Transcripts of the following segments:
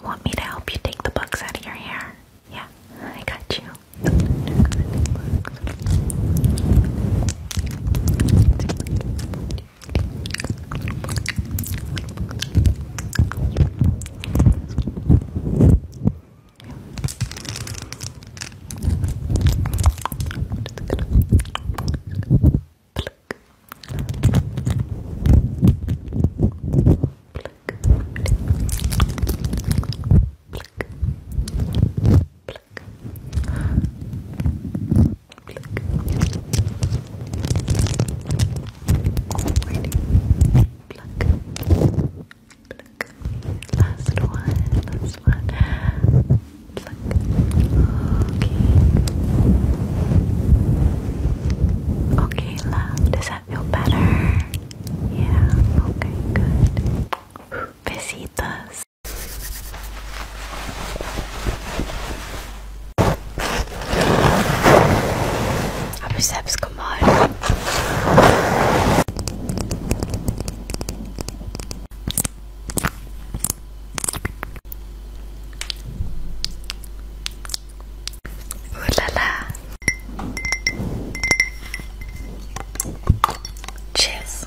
You want me to help you take the bugs out of your hair? Yeah, I got you. Pluck, Last one, last one. Pluck. Okay. Okay, does that feel better? Yeah, okay, good. Besitos. Aber selbst gemalt. Ooh la la. Cheers.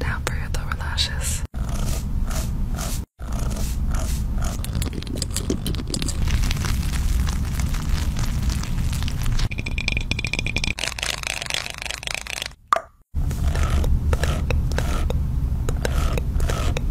Now for your lower lashes.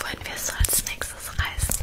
Wollen wir es als nächstes reißen?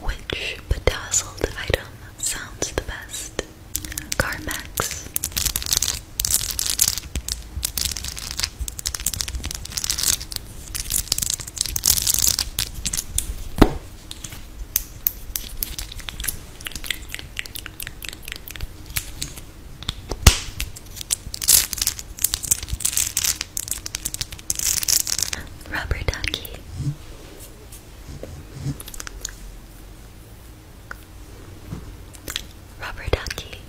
Which bedazzled item sounds the best? CarMax. Rubber ducky. Rubber ducky.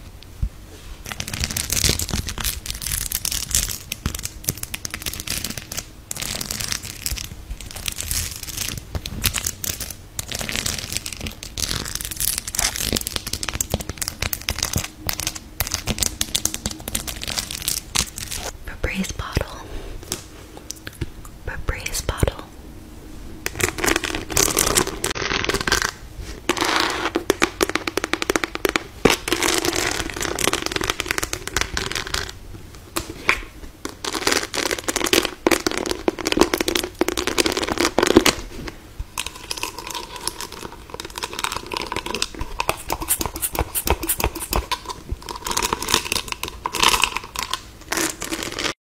Febreze bottle. Babri's bottle. I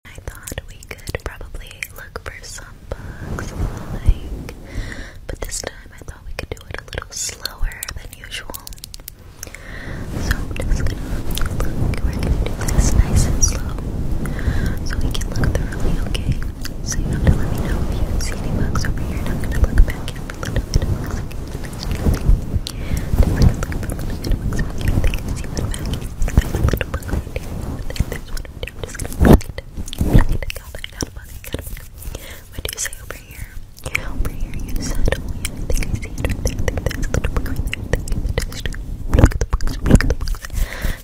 thought we could probably look for some bugs, but this time I thought we could do it a little slower than usual. So I'm just gonna we're gonna do this nice and slow, so we can look thoroughly, okay? So you have to let me know if you see any books over here, I'm gonna look back at what do you say over here? Over here, you said, oh yeah, I think I see it right there. I think there's a little book right there. I think the texture. Look at the books, look at the books. I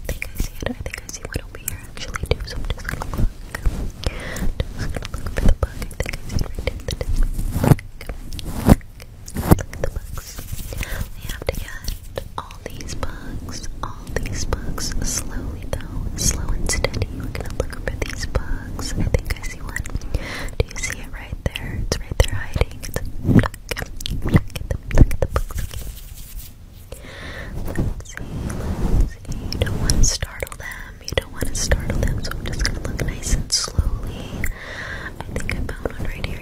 think I see it. I think I see one over here actually too, so I'm just gonna look. I'm just gonna look for the book. I think I see it right there. The texture. Look at the books. We have to get all these books, all these books, slowly though, slow and steady. We're gonna look for these bugs. I think I see one. Do you see it right there? It's right there hiding. look, look at the, look at the books. Let's see, let's see. don't want to startle them them. Um, you don't want to startle them, so I'm just gonna look nice and slowly. I think I found one right here.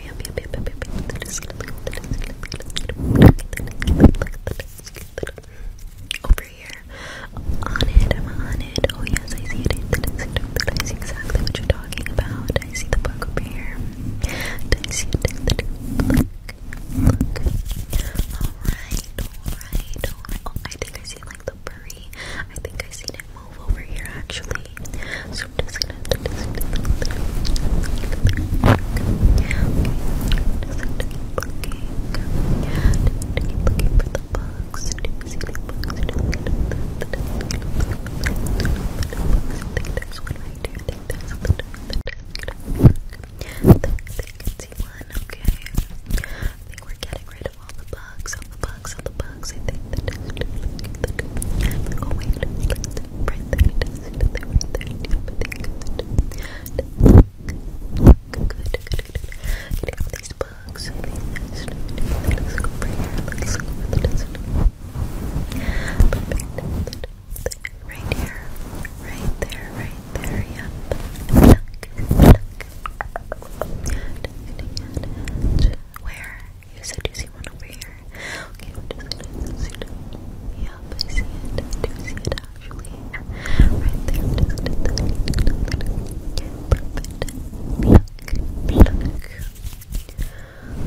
Over here. On it, I'm on it. Oh yes, I see it. I see exactly what you're talking about. I see the bug over here. I see it. Look, look. Alright, alright, oh, I think I like the furry. I think I have seen it move over here actually. So I'm just gonna looking for the bugs. think there's one right here. I think there's one I think I can see one. Okay. I think we're getting rid rid of all the bugs, all the bugs, all the bugs. I think the Oh wait, let's right there, right there, right there. Good, good, good, good. Getting all these bugs. Let's go over here. Let's go over the dust. Perfect. Right here, right there, right there. Yep. Pluck, pluck, where? You said you see one over here. Okay, we're just gonna zoom it up. I see it. I do see it actually. Right there. Perfect. Pluck, pluck.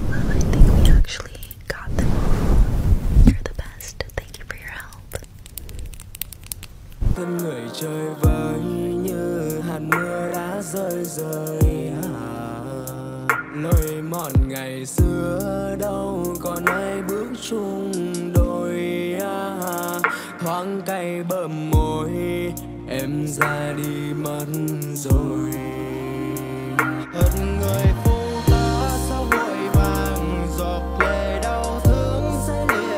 Well, I think we actually got them all. You're the best. Thank you for your help. thân người trời vơi như hạt mưa đã rơi rơi à. lối mòn ngày xưa đâu còn ai bước chung đôi à. thoáng cay bờm môi em ra đi mất rồi hận người phố ta sao vội vàng giọt lệ đau thương sẽ liền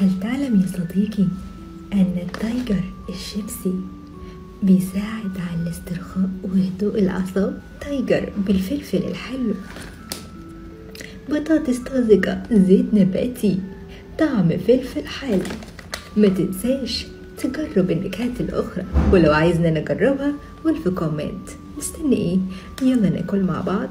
هل تعلم يا صديقي أن التايجر الشيبسي بيساعد على الاسترخاء وهدوء الأعصاب تايجر بالفلفل الحلو بطاطس طازجة زيت نباتي طعم فلفل حالي ما تنساش تجرب النكهات الأخرى ولو عايزنا نجربها قول في كومنت مستني ايه يلا ناكل مع بعض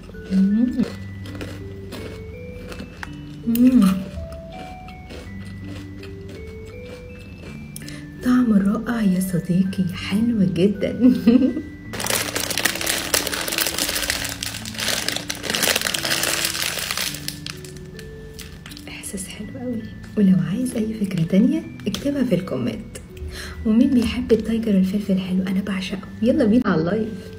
مم. مم. طعم رائع يا صديقي حلو جدا احساس حلو قوي ولو عايز اي فكره تانية اكتبها في الكومنت ومين بيحب التايجر الفلفل الحلو انا بعشقه يلا بينا على اللايف